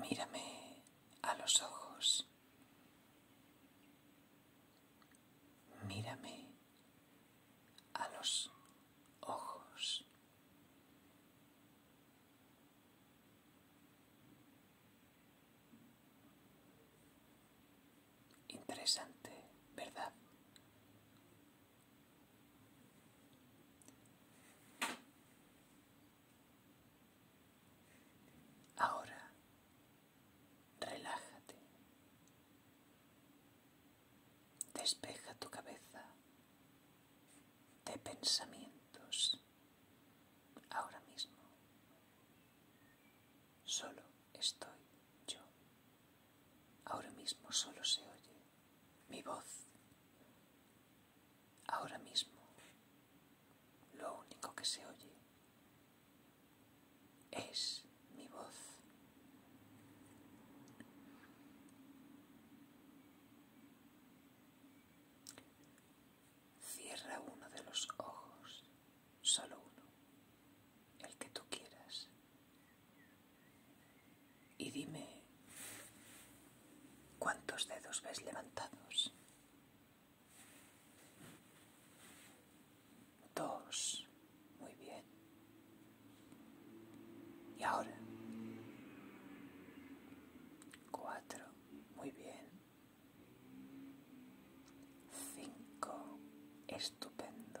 Mírame a los ojos. Mírame a los ojos. Interesante, ¿verdad? Ahora, relájate. Despeja tu cabeza de pensamientos ahora mismo. Solo estoy yo. Ahora mismo solo se oye mi voz. Ahora mismo lo único que se oye es mi voz. Cierra uno de los ojos, solo uno el que tú quieras. Y dime, ¿cuántos dedos ves levantados? Dos. Muy bien. Y ahora. Cuatro. Muy bien. Cinco. Estupendo.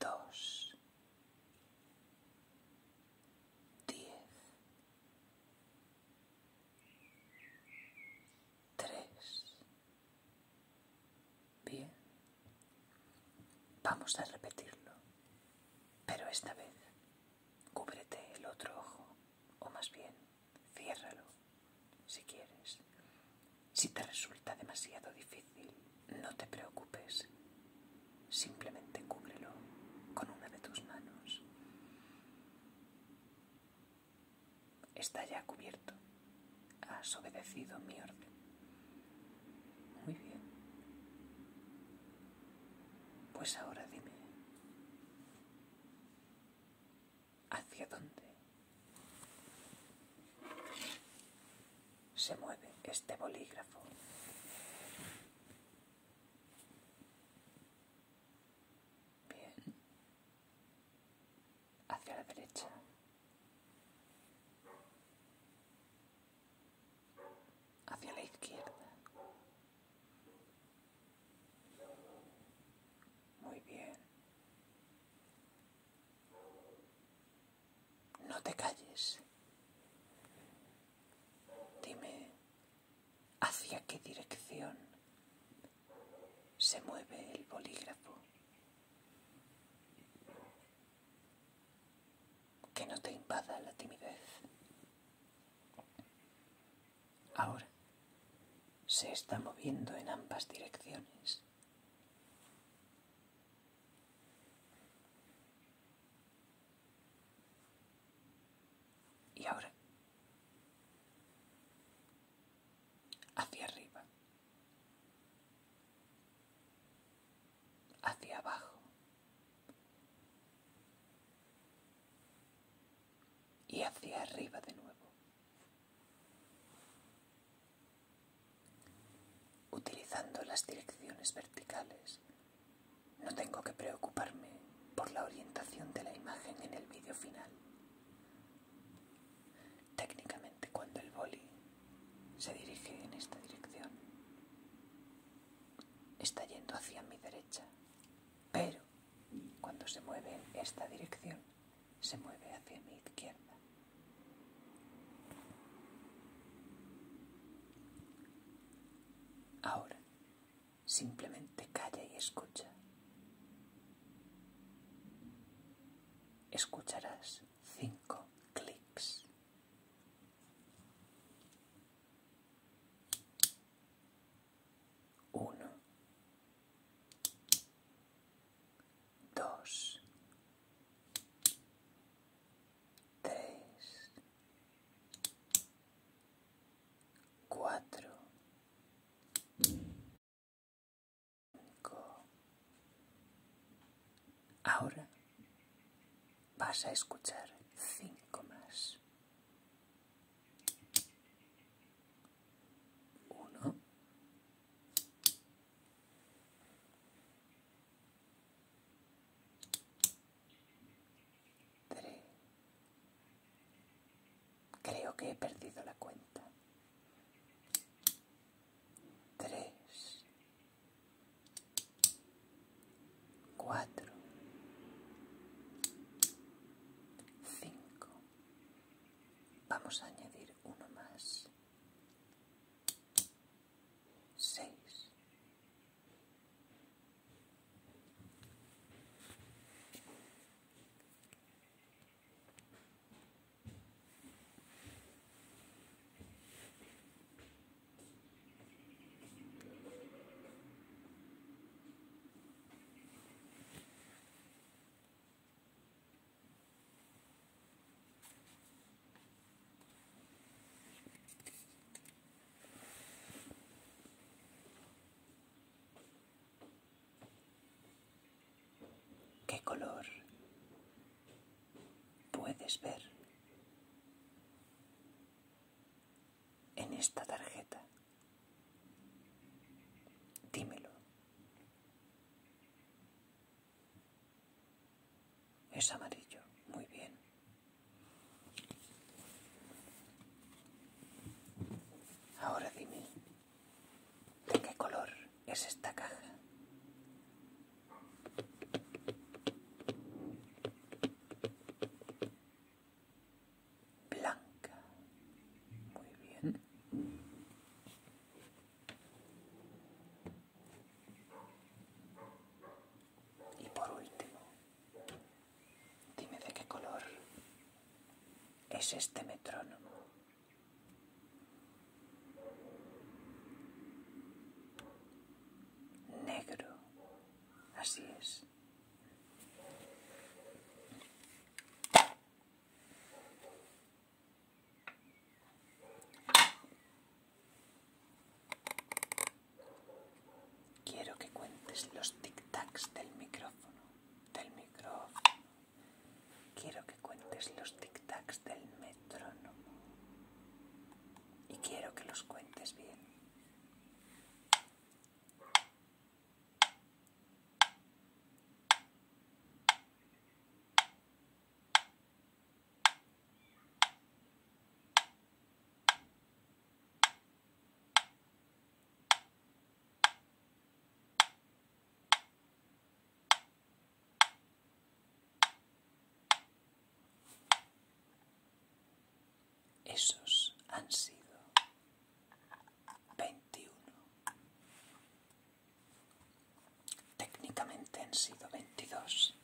dos, diez, tres. Bien, vamos a repetirlo, pero esta vez cúbrete el otro ojo, o más bien, ciérralo si quieres. Si te resulta demasiado difícil, no te preocupes. Simplemente cúbrelo con una de tus manos. Está ya cubierto. Has obedecido mi orden. Muy bien. Pues ahora dime, hacia dónde se mueve este bolígrafo. Bien. Hacia la derecha. Hacia la izquierda. Muy bien. No te calles. Dime hacia qué dirección se mueve el bolígrafo. Que no te invada la timidez. Ahora se está moviendo en ambas direcciones. Y ahora, hacia arriba, hacia abajo, y hacia arriba de nuevo. Utilizando las direcciones verticales, no tengo que preocuparme por la orientación de la imagen en el vídeo final. Técnicamente cuando el boli se dirige en esta dirección, está yendo hacia mi derecha, pero cuando se mueve en esta dirección, se mueve hacia mi izquierda. Ahora, simplemente calla y escucha. Escucharás cinco clics uno, dos, cuatro, Ahora vas a escuchar cinco más. Uno. Creo que he perdido la cuenta. Tres. 4 5 vamos a añadir uno más 6 ¿Qué color puedes ver en esta tarjeta. Dímelo. Es amarillo, muy bien. Ahora dime, ¿de qué color es esta caja? blanca. Muy bien. Y por último, dime de qué color es este metrónomo. Negro, así es. Quiero que cuentes los tic-tacs del micrófono, del micrófono, Quiero que cuentes los tic-tacs del metrónomo. Y quiero que los cuentes bien. Esos han sido veintiuno. Técnicamente han sido veintidós.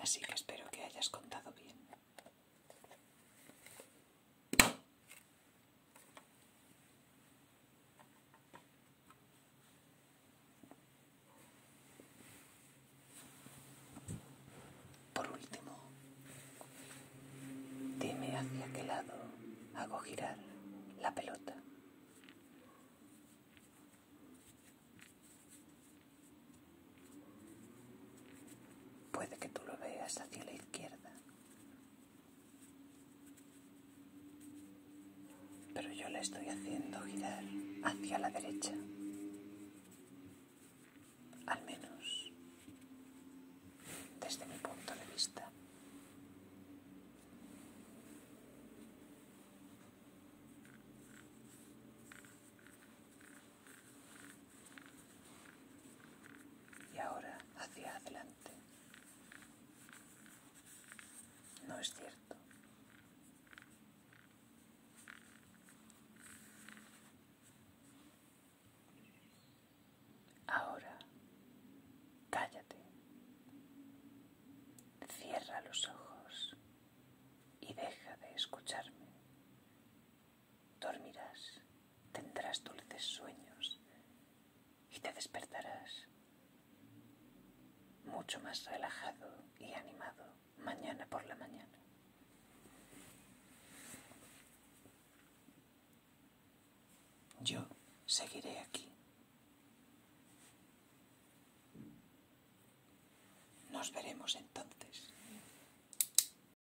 Así que espero que hayas contado bien. Por último, dime hacia qué lado hago girar la pelota. Puede que tú lo veas hacia la izquierda, pero yo la estoy haciendo girar hacia la derecha. Al menos desde mi punto de vista. Y ahora hacia adelante. No es cierto. Ahora, cállate. Cierra los ojos y deja de escucharme. Dormirás, tendrás dulces sueños y te despertarás mucho más relajado y animado mañana por la mañana. Yo seguiré aquí. Nos veremos entonces.